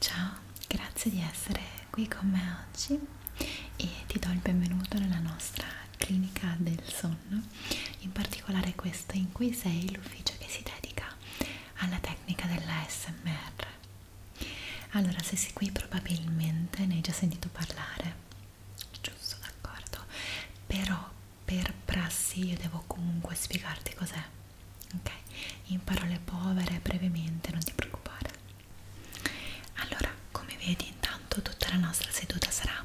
Ciao, grazie di essere qui con me oggi e ti do il benvenuto nella nostra clinica del sonno, in particolare questo in cui sei l'ufficio che si dedica alla tecnica della SMR. Allora, se sei qui probabilmente ne hai già sentito parlare, giusto, d'accordo, però per prassi io devo comunque spiegarti cos'è, ok? In parole povere, brevemente, non ti preoccupare. Allora, come vedi intanto tutta la nostra seduta sarà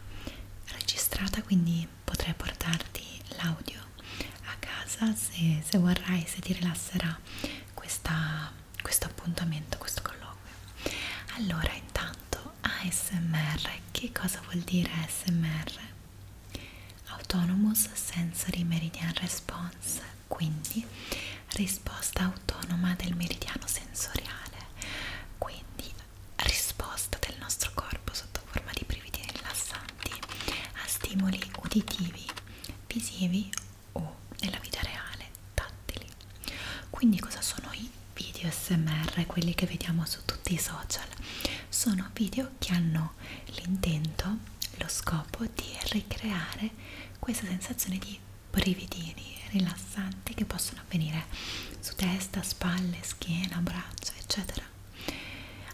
registrata, quindi potrai portarti l'audio a casa se, se vorrai, se ti rilasserà questa questo appuntamento, questo colloquio. Allora, intanto ASMR, che cosa vuol dire ASMR? Autonomous Sensory Meridian Response, quindi risposta autonoma del meridiano sensoriale, quindi risposta del nostro corpo sotto forma di brividi rilassanti a stimoli uditivi, visivi o nella vita reale tattili. Quindi cosa sono i video smr, quelli che vediamo su tutti i social? Sono video che hanno l'intento, lo scopo di ricreare questa sensazione di brividini rilassanti che possono avvenire su testa, spalle, schiena, braccia, eccetera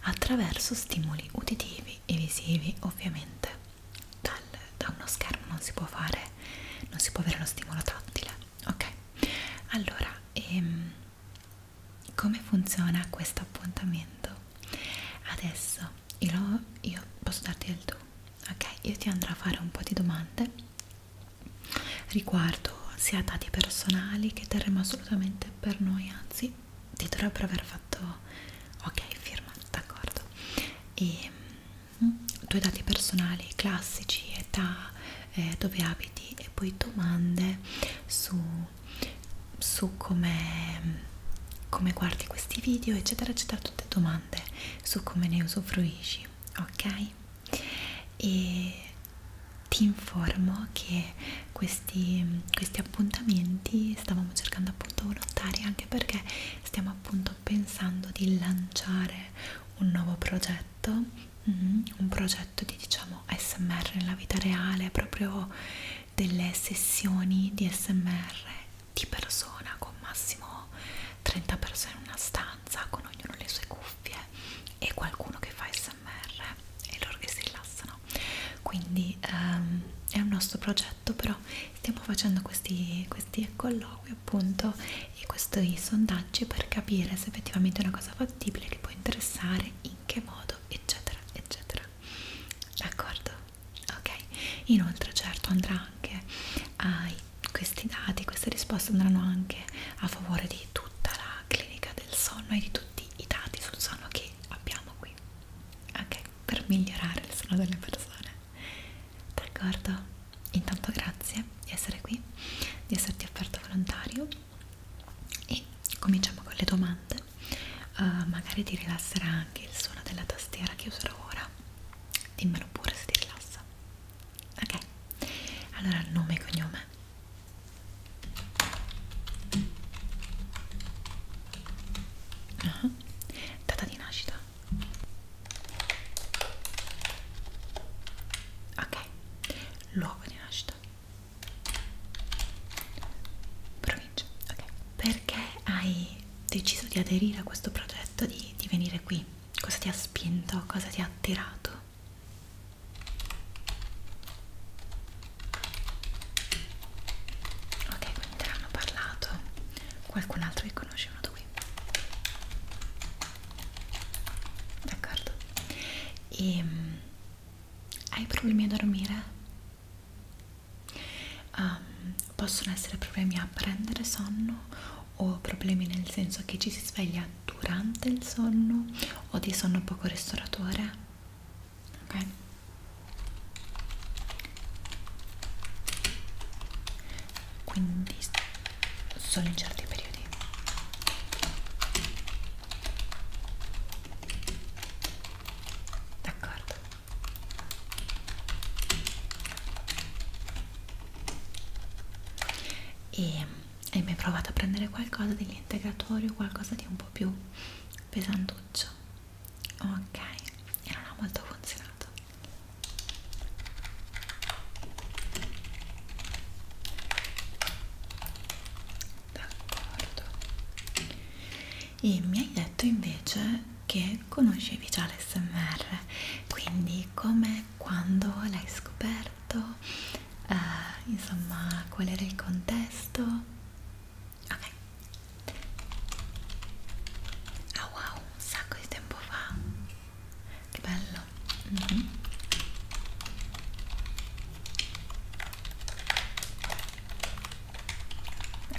attraverso stimoli uditivi e visivi ovviamente dal, da uno schermo non si può fare, non si può avere lo stimolo tattile, ok? Allora, ehm, come funziona questo appuntamento? Adesso io, lo, io posso darti del tu, ok? Io ti andrò a fare un po' di domande riguardo sia dati personali che terremo assolutamente per noi, anzi ti dovrebbero aver fatto ok firma, d'accordo? E ehm, tuoi mm? dati personali classici, età, eh, dove abiti e poi domande su, su come come guardi questi video eccetera eccetera tutte domande su come ne usufruisci ok e ti informo che questi, questi appuntamenti stavamo cercando appunto volontari anche perché stiamo appunto sto pensando di lanciare un nuovo progetto, mm-hmm, un progetto di diciamo SMR nella vita reale, proprio delle sessioni di SMR di persona con massimo 30 persone in una stanza, con ognuno le sue cuffie e qualcuno che fa SMR e loro che si rilassano. Quindi ehm, è un nostro progetto progetto però stiamo facendo questi, questi colloqui appunto e questi sondaggi per capire se effettivamente è una cosa fattibile che può interessare in che modo eccetera eccetera d'accordo ok inoltre certo andrà anche ai questi dati queste risposte andranno anche a favore di tutta la clinica del sonno e di tutti i dati sul sonno che abbiamo qui ok per migliorare il sonno delle persone d'accordo? Intanto grazie di essere qui, di esserti offerto volontario e cominciamo con le domande. Uh, magari ti rilasserà anche il suono della tastiera che userò ora. Dimmelo pure se ti rilassa. Ok, allora nome e cognome. Uh ah, -huh. Data di nascita ok luogo di nascita provincia ok perché hai deciso di aderire a questo progetto di, di venire qui cosa ti ha spinto cosa ti ha attirato ok quindi te l'hanno parlato qualcun altro che conosce uno dopo qui d'accordo e ehm, hai problemi a dormire um, possono essere problemi a prendere sonno o problemi nel senso che ci si sveglia durante il sonno o di sonno poco ristoratore ok quindi solo in certi periodi d'accordo e ehm, hai mai provato a prendere qualcosa degli integratori o qualcosa di un po' più pesantuccio? ok e non ha molto funzionato d'accordo e mi hai detto invece che conoscevi già l'SMR quindi come quando l'hai scoperto eh, insomma qual era il contesto ok ah wow un sacco di tempo fa che bello mm -hmm.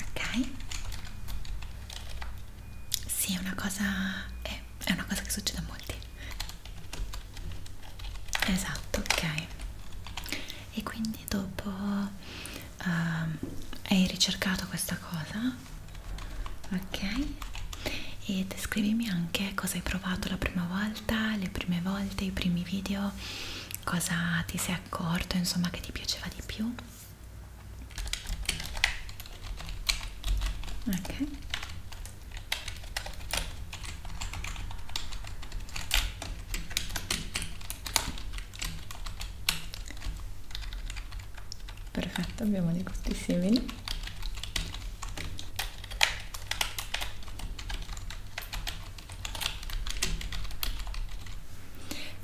ok sì è una cosa è, è una cosa che succede a molti esatto ok e quindi dopo uh, hai ricercato questa cosa ok e descrivimi anche cosa hai provato la prima volta le prime volte i primi video cosa ti sei accorto insomma che ti piaceva di più ok perfetto abbiamo dei gusti simili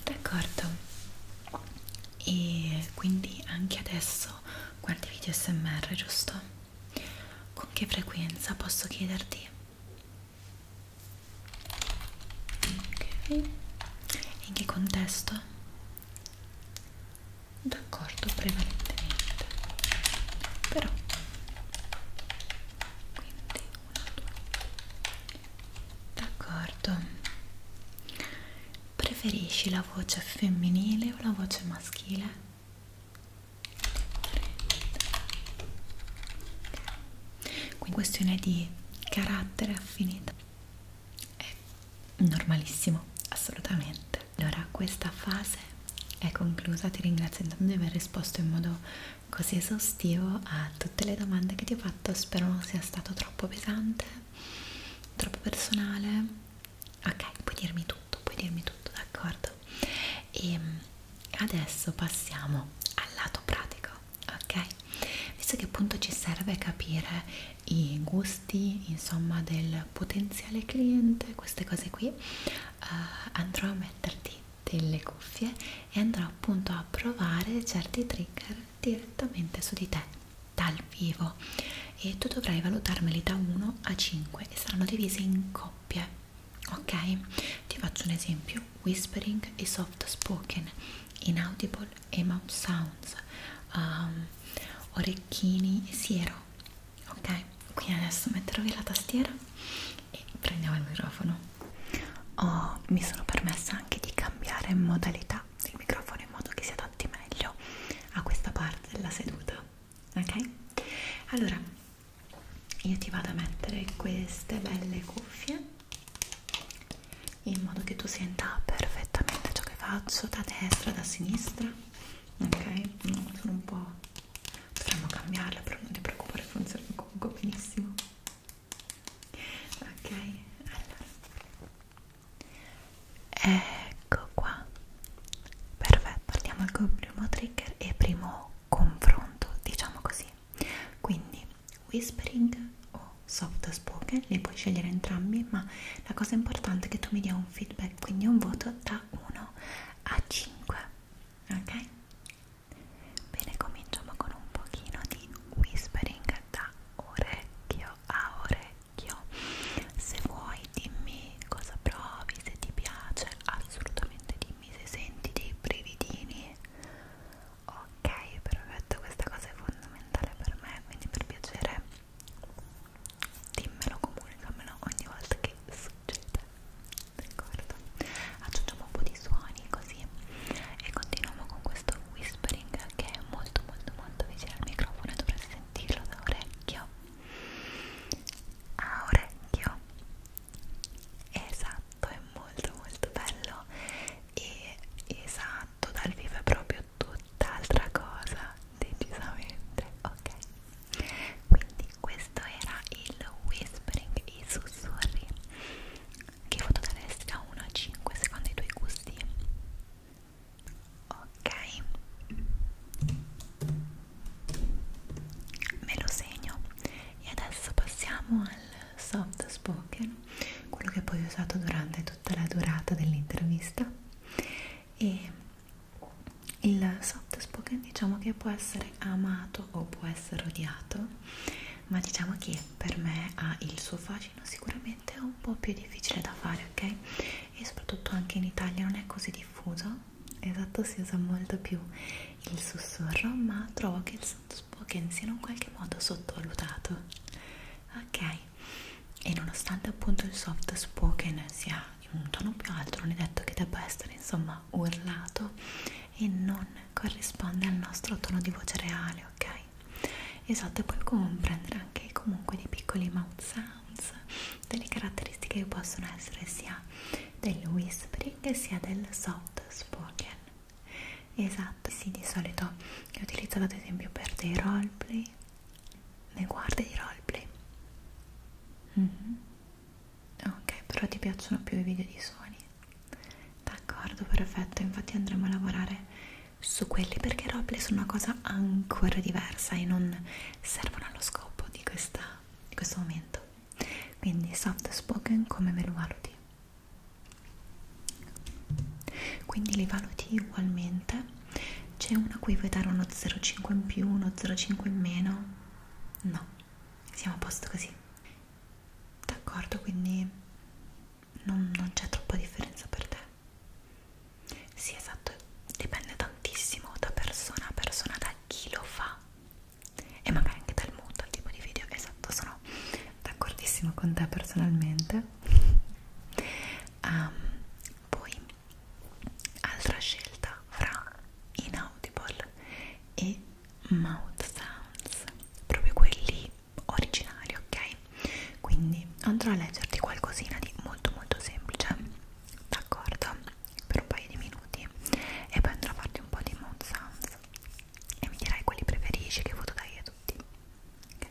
d'accordo e quindi anche adesso guardi video smr giusto? con che frequenza posso chiederti? ok in che contesto? d'accordo prevalentemente però quindi una due d'accordo preferisci la voce femminile o la voce maschile quindi questione di carattere affinità e ecco normalissimo assolutamente allora questa fase è conclusa ti ringrazio intanto di aver risposto in modo così esaustivo a tutte le domande che ti ho fatto spero non sia stato troppo pesante troppo personale ok puoi dirmi tutto puoi dirmi tutto d'accordo e ehm, adesso passiamo al lato pratico ok visto che appunto ci serve capire i gusti insomma del potenziale cliente queste cose qui eh, andrò a metterti delle cuffie e andrò appunto a provare certi trigger direttamente su di te dal vivo e tu dovrai valutarmeli da 1 a 5 e saranno divisi in coppie ok ti faccio un esempio whispering e soft spoken inaudible mouth sounds um, orecchini e siero ok quindi adesso metterò via la tastiera e prendiamo il microfono oh, mi sono permessa anche di cambiare modalità del microfono in modo che si adatti meglio a questa parte della seduta ok allora io ti vado a mettere queste belle cuffie in modo che tu senta perfettamente ciò che faccio da destra, da sinistra ok? No, sono un po' dovremmo cambiarla però non ti preoccupare funziona comunque benissimo ok? allora ecco qua perfetto andiamo al primo trigger e primo confronto diciamo così quindi whispering o soft spoken, li puoi scegliere entrambi, ma la cosa importante è che tu mi dia un feedback, quindi un voto da 1 a 5, ok? Bene, cominciamo con un pochino di whispering da orecchio a orecchio. Se vuoi dimmi cosa provi, se ti piace, assolutamente dimmi se senti dei brividini. Ok, perfetto, questa cosa è fondamentale per me, quindi per piacere dimmelo, comunicamelo ogni volta che succede d'accordo? aggiungiamo un po' di suoni così e continuiamo con questo whispering che è molto molto molto vicino al microfono e dovrete sentirlo da orecchio a orecchio esatto, è molto molto bello e esatto dal vivo è proprio tutt'altra cosa decisamente ok quindi questo era il whispering i sussurri che voto daresti da 1 a 5 secondo i tuoi gusti ok me lo segno e adesso passiamo al soft spoken quello che poi ho usato durante tutta la durata dell'intervista e il soft spoken diciamo che può essere amato o può essere odiato ma diciamo che per me ha il suo fascino sicuramente è un po' più difficile da fare ok e soprattutto anche in Italia non è così diffuso esatto si usa molto più il sussurro ma trovo che il soft spoken sia in un qualche modo sottovalutato ok e nonostante appunto il soft spoken sia in un tono più alto non è detto che debba essere insomma urlato e non corrisponde al nostro tono di voce reale ok esatto e poi comprendere anche comunque dei piccoli mouth sounds delle caratteristiche che possono essere sia del whispering sia del soft spoken esatto sì di solito che utilizzo ad esempio per dei roleplay ne guardi di roleplay? Mm -hmm. Ok, però ti piacciono più i video di suoni? D'accordo, perfetto, infatti andremo a lavorare su quelli perché i roleplay sono una cosa ancora diversa e non servono allo scopo di, questa, di questo momento. Quindi soft spoken come me lo valuti? quindi li valuti ugualmente c'è uno a cui vuoi dare uno 0,5 in più uno 0,5 in meno no siamo a posto così d'accordo quindi non, non c'è troppa differenza per te sì esatto dipende tantissimo da persona a persona da chi lo fa e magari anche dal mood dal tipo di video esatto sono d'accordissimo con te personalmente um, poi altra scelta fra inaudible e mouth sounds proprio quelli originali ok quindi andrò a leggerti qualcosina di molto molto semplice d'accordo per un paio di minuti e poi andrò a farti un po' di mouth sounds e mi dirai quali preferisci che voto dai a tutti okay.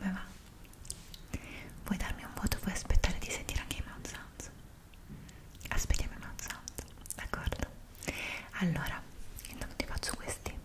Come va? Vuoi darmi un voto? Vuoi aspettare di sentire anche i mouth sounds? Aspettiamo i mouth sounds, d'accordo? Allora, intanto ti faccio questi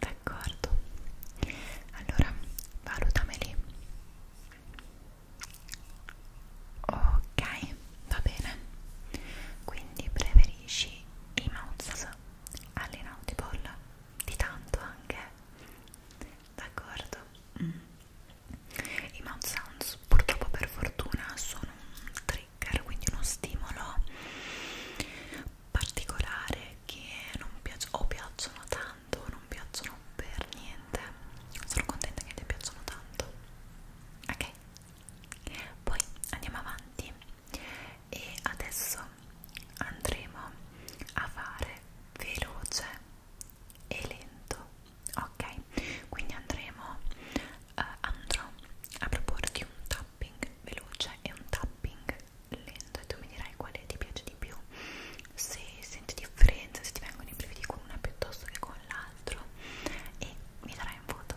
D'accordo, allora valutameli. Ok, va bene. Quindi preferisci i mouse all'inaudible? di tanto anche d'accordo mm. i mouth sounds purtroppo per fortuna sono un trigger quindi uno stimolo particolare che non piace o piacciono tanto o non piacciono per niente sono contenta che ti piacciono tanto ok poi andiamo avanti e adesso andremo a fare veloce e lento ok quindi andremo eh, andrò a proporti un tapping veloce e un tapping lento e tu mi dirai quale ti piace di più se senti differenza se ti vengono i brividi con una piuttosto che con l'altro e mi darai un voto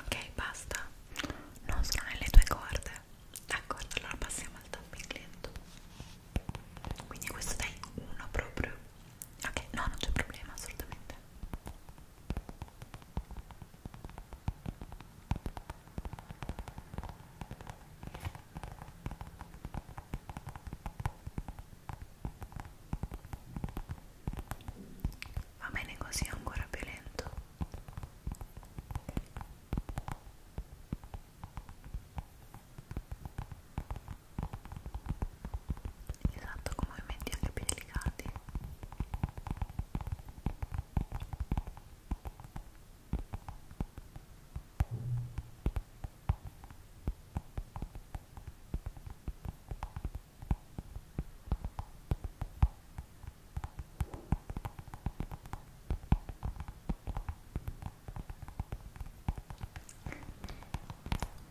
Ok, basta. Non sono nelle tue corde. D'accordo, allora passiamo al tapping lento. Quindi questo dai uno proprio. Ok, no, non c'è problema assolutamente. Va bene così, ancora più lento. Esatto, con movimenti anche più delicati. Ora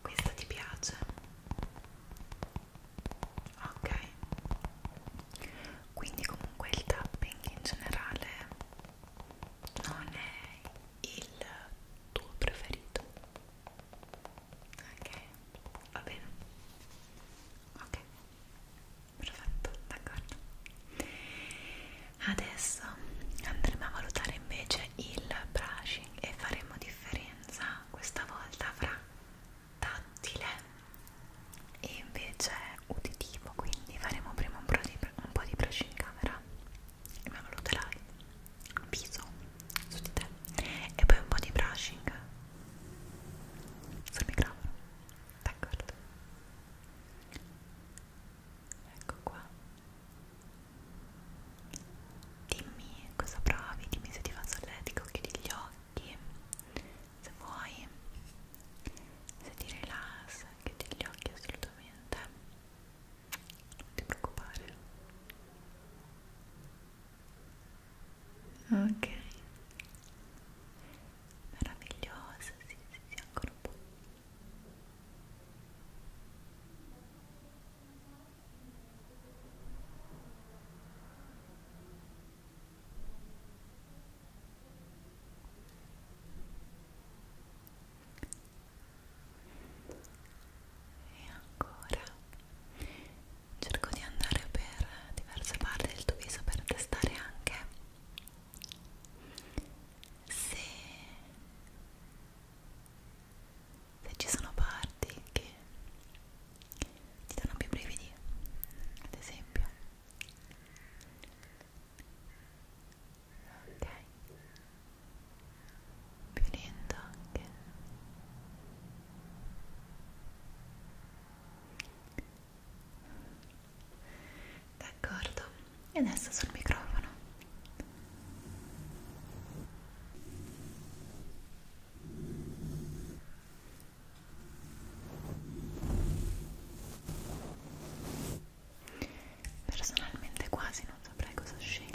questo ti piace? Ok. Quindi comunque il tapping in generale non è il tuo preferito ok va bene ok perfetto d'accordo adesso andremo a valutare invece il brushing e faremo differenza questa volta fra tattile e invece uditivo quindi faremo prima un po' di, un po di brushing camera ma valuterai un viso su di te e poi un po' di brushing sul microfono d'accordo ecco qua dimmi cosa provi dimmi se ti fa solletico chiudi gli occhi se vuoi se ti rilassa chiudi gli occhi assolutamente non ti preoccupare ok meravigliosa sì sì sì ancora un po' e ancora cerco di andare per diverse parti del tuo viso per testare anche se, se ci sono parti che ti danno più brividi ad esempio ok più lento anche d'accordo e adesso sul microfono ok Personalmente quasi non saprei cosa scegliere.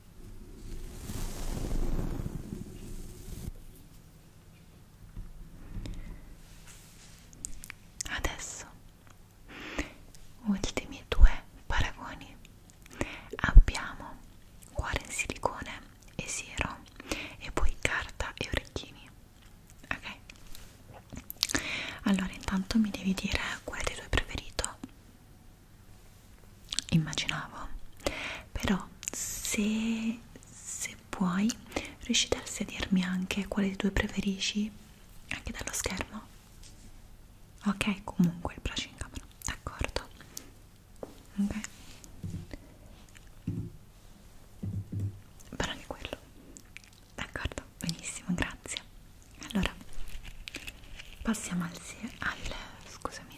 Adesso ultimi due paragoni abbiamo cuore in silicone e siero e poi carta e orecchini ok allora intanto mi devi dire qual è il tuo preferito immaginavo però se, se puoi riusciresti a dirmi anche quale dei due preferisci anche dallo schermo ok comunque il braccio in camera d'accordo ok però anche quello d'accordo benissimo grazie allora passiamo al, al scusami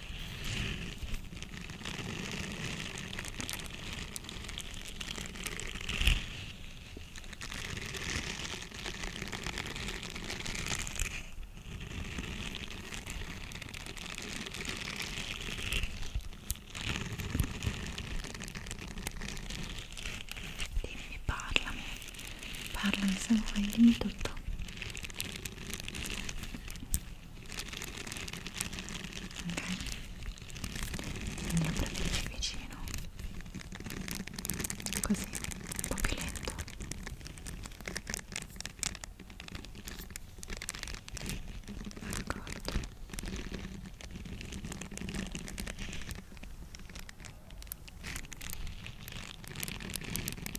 Dimmi, parlami, parlami se vuoi, dimmi tutto ok? quindi lo prendete vicino così, un po' più lento d'accordo ok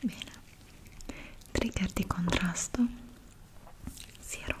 bene trigger di contrasto siero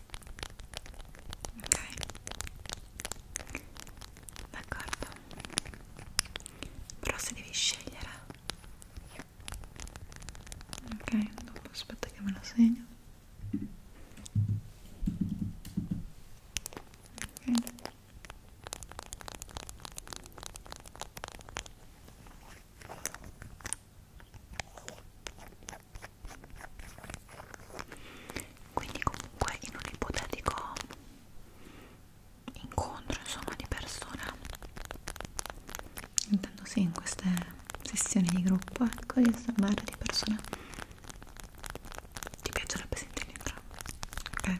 ok d'accordo però se devi scegliere ok dopo aspetta che me lo segno ok quindi comunque in un ipotetico incontro insomma di persona intendo sì in queste sessioni di gruppo ecco di osservare di persona ti piacerebbe sentire entrambe ok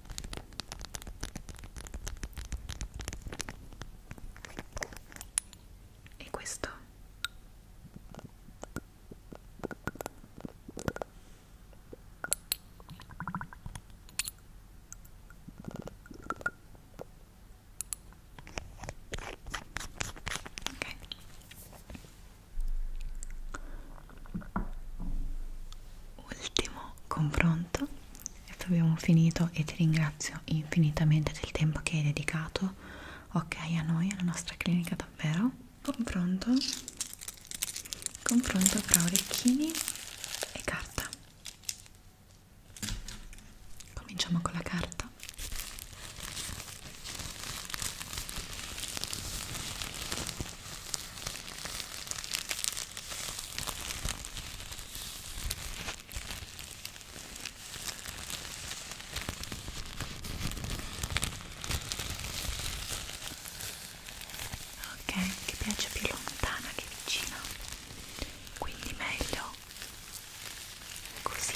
E questo? Ok. Ultimo confronto abbiamo finito e ti ringrazio infinitamente del tempo che hai dedicato ok a noi alla nostra clinica davvero confronto confronto tra orecchini e carta cominciamo con la carta ok che piace più lontana che vicina quindi meglio così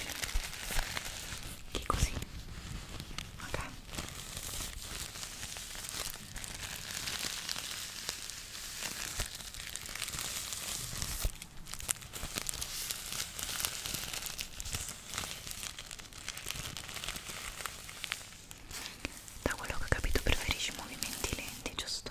che così ok da quello che ho capito preferisci movimenti lenti, giusto?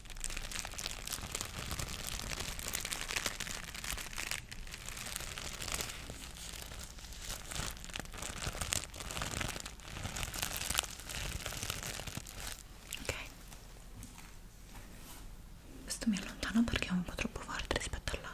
ok questo mi allontano perché è un po' troppo forte rispetto all'altro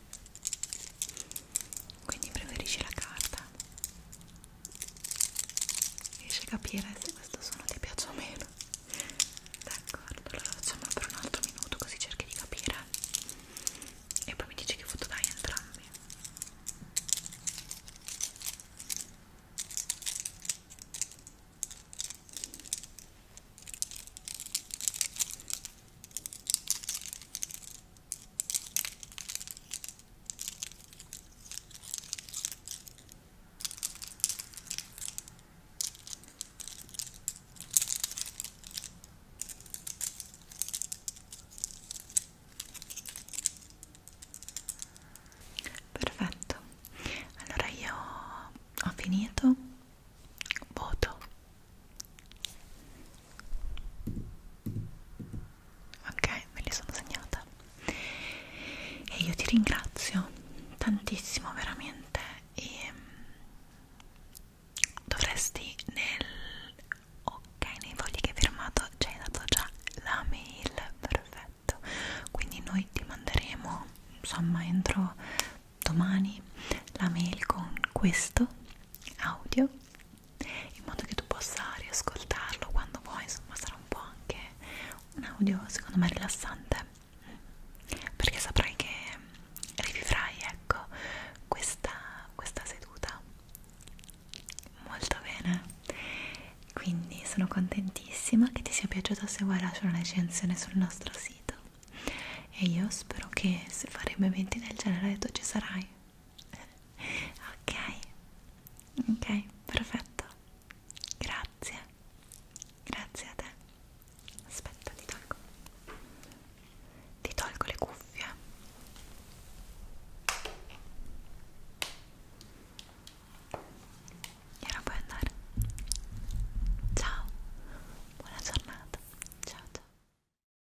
quindi preferisci la carta riesci a capire se questo suono ti piace o meno d'accordo allora facciamo per un altro minuto così cerchi di capire e poi mi dici che foto dai entrambi ok Perfetto, allora io ho finito, voto ok me li sono segnata e io ti ringrazio tantissimo veramente e mm, dovresti nel ok nei fogli che hai firmato ci hai dato già la mail perfetto quindi noi ti manderemo insomma entro domani la mail con questo audio in modo che tu possa riascoltarlo quando vuoi, insomma sarà un po' anche un audio secondo me rilassante perché saprai che rivivrai ecco questa, questa seduta molto bene quindi sono contentissima che ti sia piaciuto se vuoi lasciare una recensione sul nostro sito e io spero che se faremo eventi del genere tu ci sarai ok ok perfetto grazie grazie a te aspetta ti tolgo ti tolgo le cuffie e ora puoi andare ciao buona giornata ciao ciao